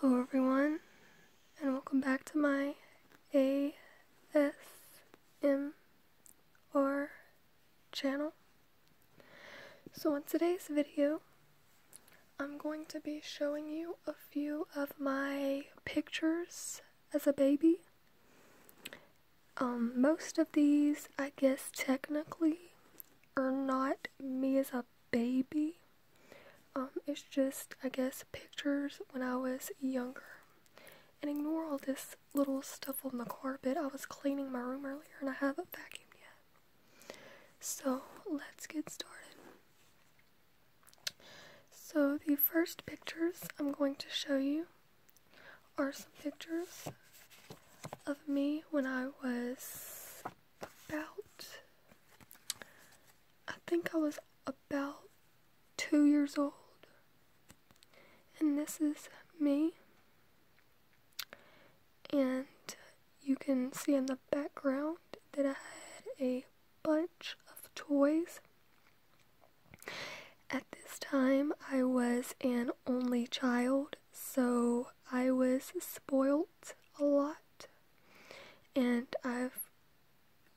Hello everyone, and welcome back to my ASMR channel. So in today's video, I'm going to be showing you a few of my pictures as a baby. Um, most of these, I guess technically, are not me as a baby. Um, it's just, I guess, pictures when I was younger. And ignore all this little stuff on the carpet. I was cleaning my room earlier and I haven't vacuumed yet. So, let's get started. So, the first pictures I'm going to show you are some pictures of me when I was about, I think I was about two years old. And this is me. And you can see in the background that I had a bunch of toys. At this time, I was an only child, so I was spoilt a lot and I've,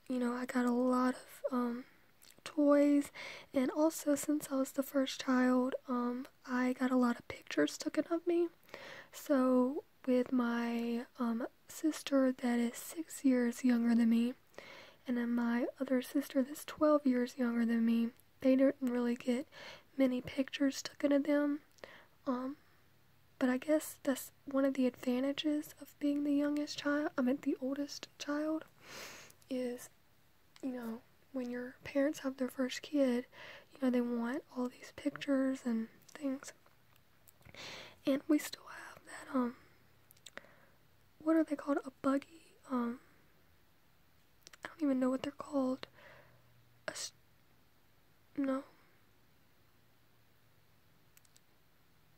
you know, I got a lot of um, toys, and also since I was the first child, um, I got a lot of pictures taken of me. So with my um, sister that is six years younger than me, and then my other sister that's 12 years younger than me, they didn't really get many pictures taken of them. But I guess that's one of the advantages of being the youngest child, I meant the oldest child, is, you know, when your parents have their first kid, you know, they want all these pictures and things. And we still have that, um, what are they called? A buggy? Um, I don't even know what they're called. A, no.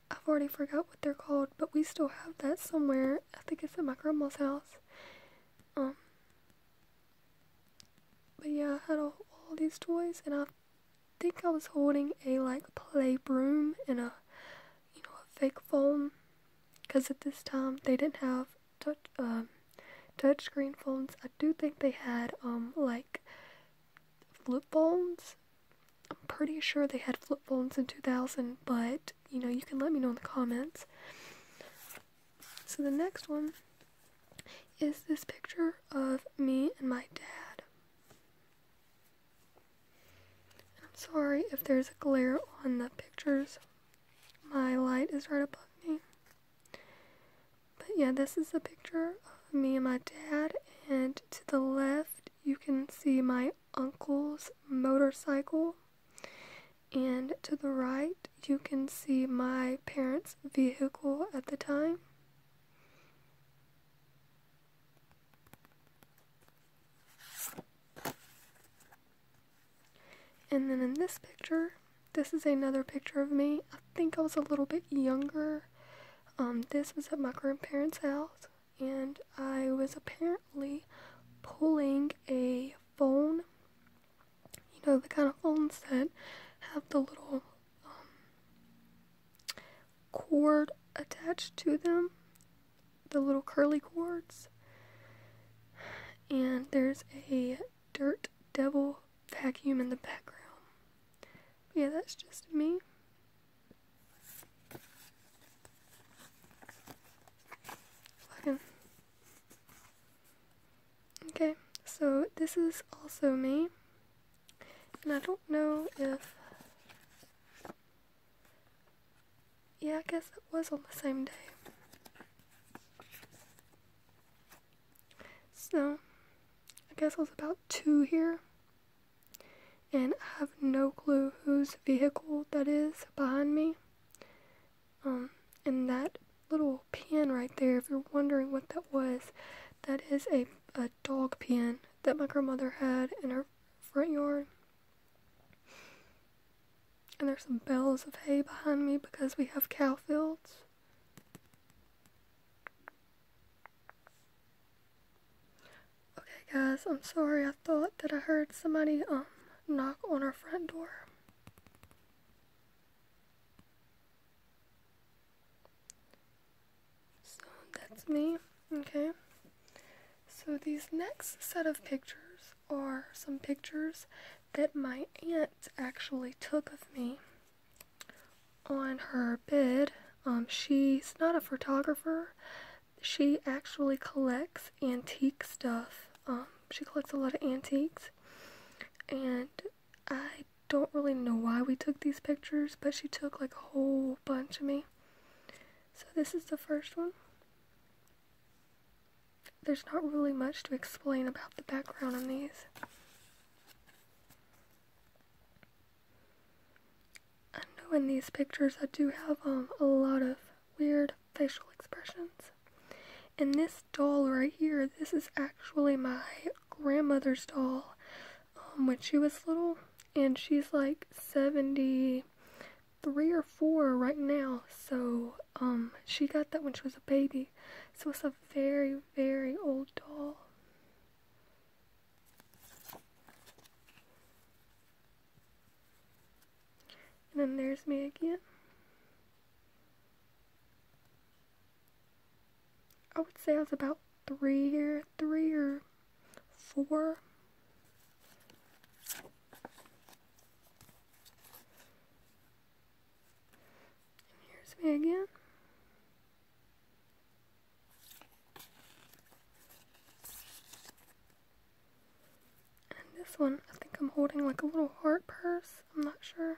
I've already forgot what they're called, but we still have that somewhere. I think it's at my grandma's house. Um. But yeah, I had all, these toys, and I think I was holding a like play broom and a, you know, a fake phone, because at this time they didn't have touch. Um, touchscreen phones. I do think they had um like flip phones. I'm pretty sure they had flip phones in 2000, but you know, you can let me know in the comments. So the next one is this picture of me and my dad. I'm sorry if there's a glare on the pictures. My light is right above me. But yeah, this is a picture of me and my dad, and to the left you can see my uncle's motorcycle, and to the right you can see my parents' vehicle at the time. And then in this picture, this is another picture of me. I think I was a little bit younger. Um, this was at my grandparents' house, and I was apparently pulling a phone. You know, the kind of phones that have the little um, cord attached to them, the little curly cords. And there's a Dirt Devil vacuum in the background. yeah, that's just me. Okay, so this is also me. And I don't know if... Yeah, I guess it was on the same day. So, I guess I was about two here. And I have no clue whose vehicle that is behind me. Um, and that little pen right there, if you're wondering what that was, that is a, a dog pen that my grandmother had in her front yard. And there's some bales of hay behind me because we have cow fields. Okay guys, I'm sorry I thought that I heard somebody um knock on our front door. So that's me, okay? So these next set of pictures are some pictures that my aunt actually took of me on her bed, um, she's not a photographer. She actually collects antique stuff. Um, she collects a lot of antiques. And I don't really know why we took these pictures, but she took like a whole bunch of me. So this is the first one. There's not really much to explain about the background on these. I know in these pictures I do have um, a lot of weird facial expressions. And this doll right here, this is actually my grandmother's doll um, when she was little. And she's like 73 or 4 right now. So um, she got that when she was a baby. So it's a very, very old doll. And then there's me again. I would say I was about three or three or four. And here's me again. And this one, I think I'm holding like a little heart purse. I'm not sure.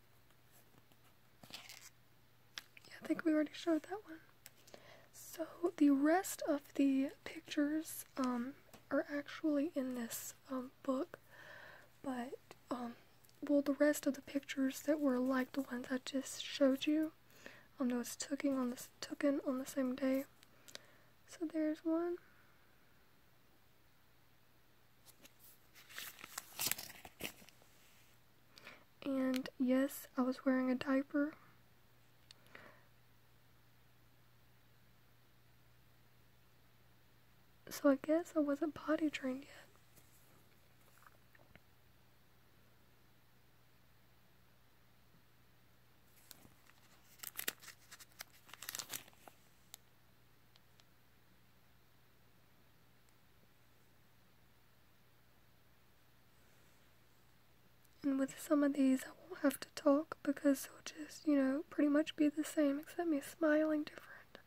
Yeah, I think we already showed that one. So the rest of the pictures um, are actually in this um, book, but um, well, the rest of the pictures that were like the ones I just showed you, um, that was taken on this taken on the same day. So there's one. And yes, I was wearing a diaper. So I guess I wasn't potty trained yet. And with some of these, I won't have to talk because they'll just, you know, pretty much be the same except me smiling different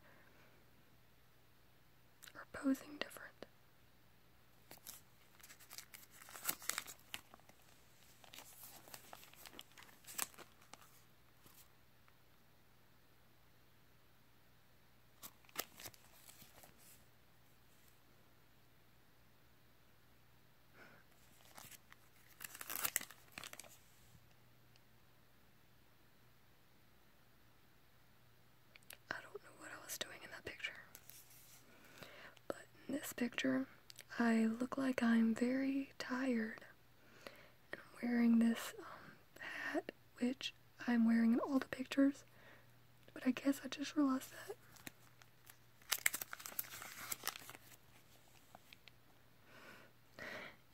or posing different. I don't know what I was doing in that picture. But in this picture, I look like I'm very tired. And I'm wearing this um, hat, which I'm wearing in all the pictures, but I guess I just realized that.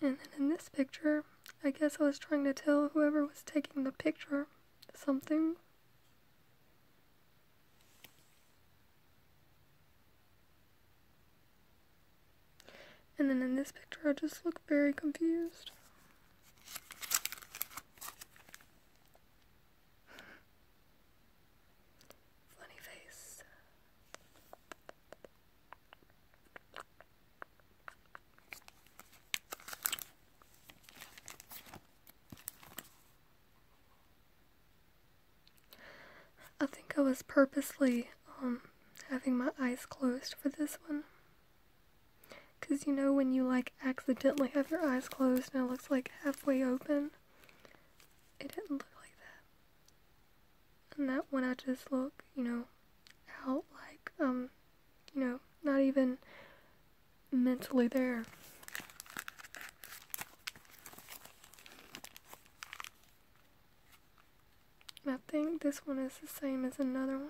And then in this picture, I guess I was trying to tell whoever was taking the picture something. And then in this picture, I just look very confused. Funny face. I think I was purposely um having my eyes closed for this one. Because you know when you like accidentally have your eyes closed and it looks like halfway open? It didn't look like that. And that one I just look, you know, out like, um, you know, not even mentally there. I think this one is the same as another one.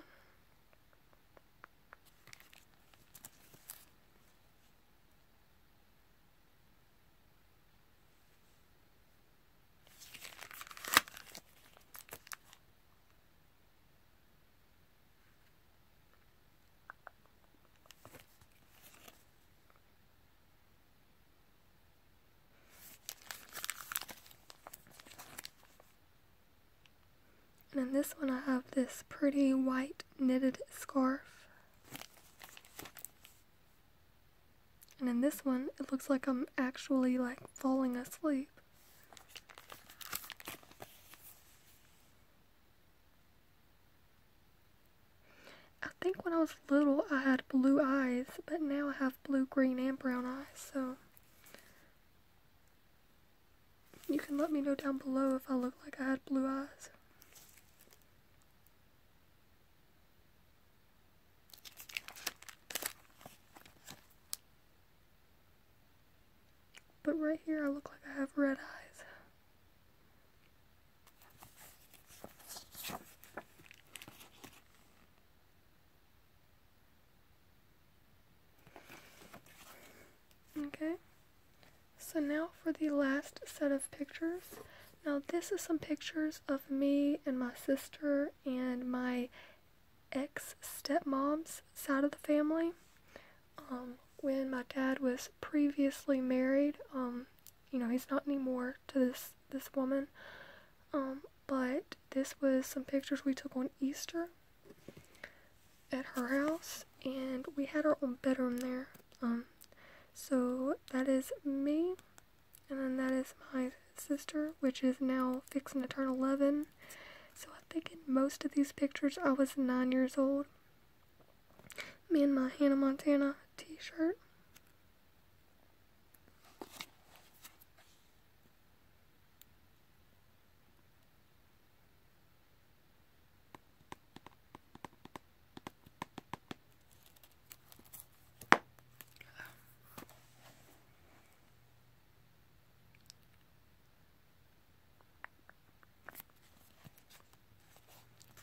And in this one I have this pretty white knitted scarf. And in this one, it looks like I'm actually like falling asleep. I think when I was little I had blue eyes, but now I have blue, green, and brown eyes, so... You can let me know down below if I look like I had blue eyes. But right here I look like I have red eyes. Okay, so now for the last set of pictures. Now this is some pictures of me and my sister and my ex-stepmom's side of the family. Um, when my dad was previously married, um, you know, he's not anymore to this, this woman. Um, but this was some pictures we took on Easter at her house, and we had our own bedroom there. Um, so that is me, and then that is my sister, which is now fixing to turn 11. So I think in most of these pictures, I was nine years old. Me and my Hannah Montana t-shirt.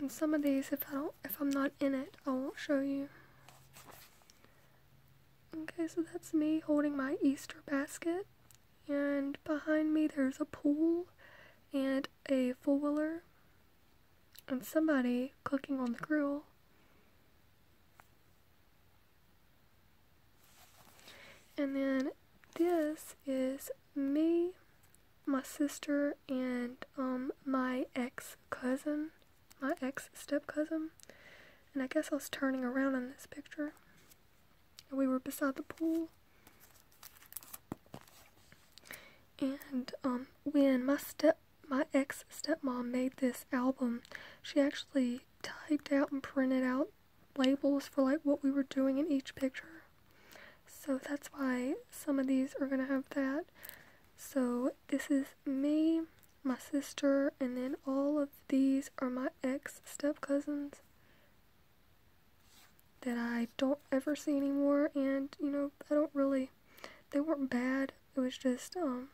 And some of these, if I don't, if I'm not in it, I won't show you. Okay, so that's me holding my Easter basket. And behind me, there's a pool and a four wheeler and somebody cooking on the grill. And then this is me, my sister, and um, my ex cousin my ex step cousin, and I guess I was turning around in this picture. We were beside the pool, and um, when my step my ex step mom made this album, she actually typed out and printed out labels for like what we were doing in each picture. So that's why some of these are gonna have that. So this is me, my sister, and then all of these are my ex step cousins that I don't ever see anymore. And you know, I don't really, they weren't bad. It was just, um,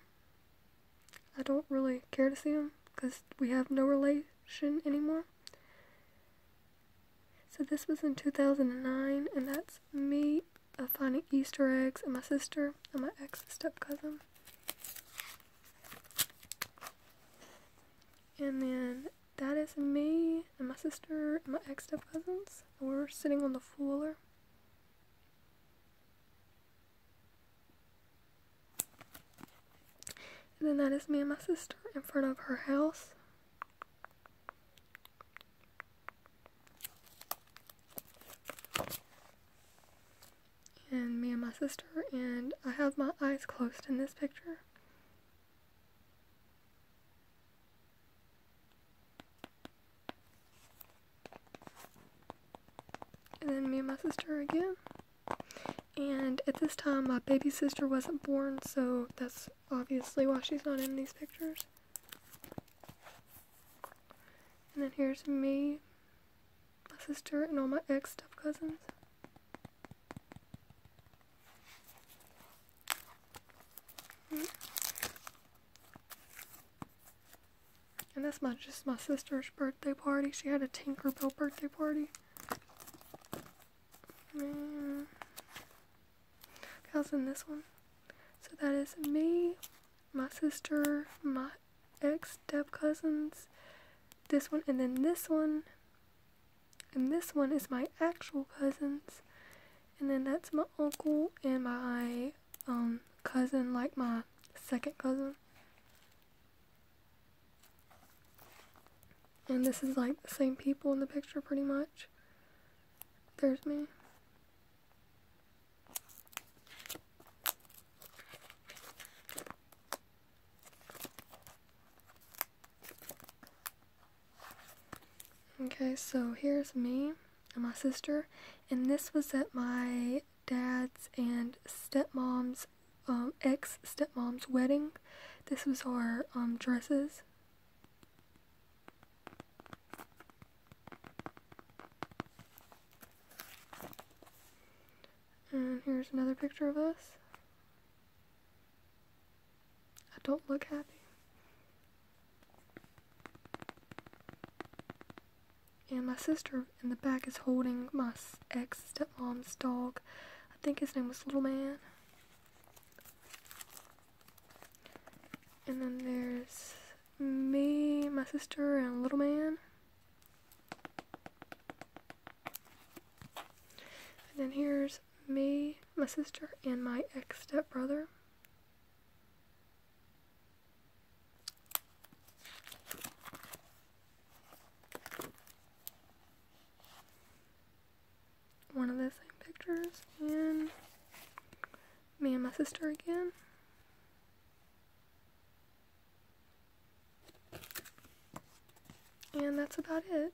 I don't really care to see them because we have no relation anymore. So this was in 2009, and that's me finding Easter eggs and my sister and my ex step cousin. And then that is me and my sister and my ex step cousins. We're sitting on the floor. And then that is me and my sister in front of her house and me and my sister, and I have my eyes closed in this picture. And then me and my sister again. And at this time, my baby sister wasn't born, so that's obviously why she's not in these pictures. And then here's me, my sister and all my ex step cousins. And that's my just my sister's birthday party. She had a Tinkerbell birthday party. Mm. Okay, in this one. So that is me, my sister, my ex step cousins. This one, and then this one. And this one is my actual cousins. And then that's my uncle and my um, cousin, like my second cousin. And this is like the same people in the picture pretty much. There's me. Okay, so here's me and my sister, and this was at my dad's and stepmom's, um, ex stepmom's wedding. This was our um, dresses. And here's another picture of us. I don't look happy. And my sister in the back is holding my ex stepmom's dog. I think his name was Little Man. And then there's me, my sister, and little man. And then here's me, my sister, and my ex stepbrother. One of the same pictures, and me and my sister again. And that's about it.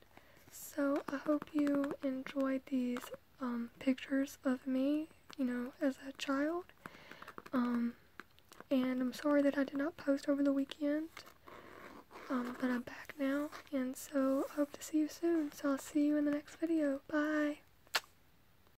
So I hope you enjoyed these um, pictures of me, you know, as a child. Um, and I'm sorry that I did not post over the weekend. Um, but I'm back now, and so I hope to see you soon. So I'll see you in the next video. Bye!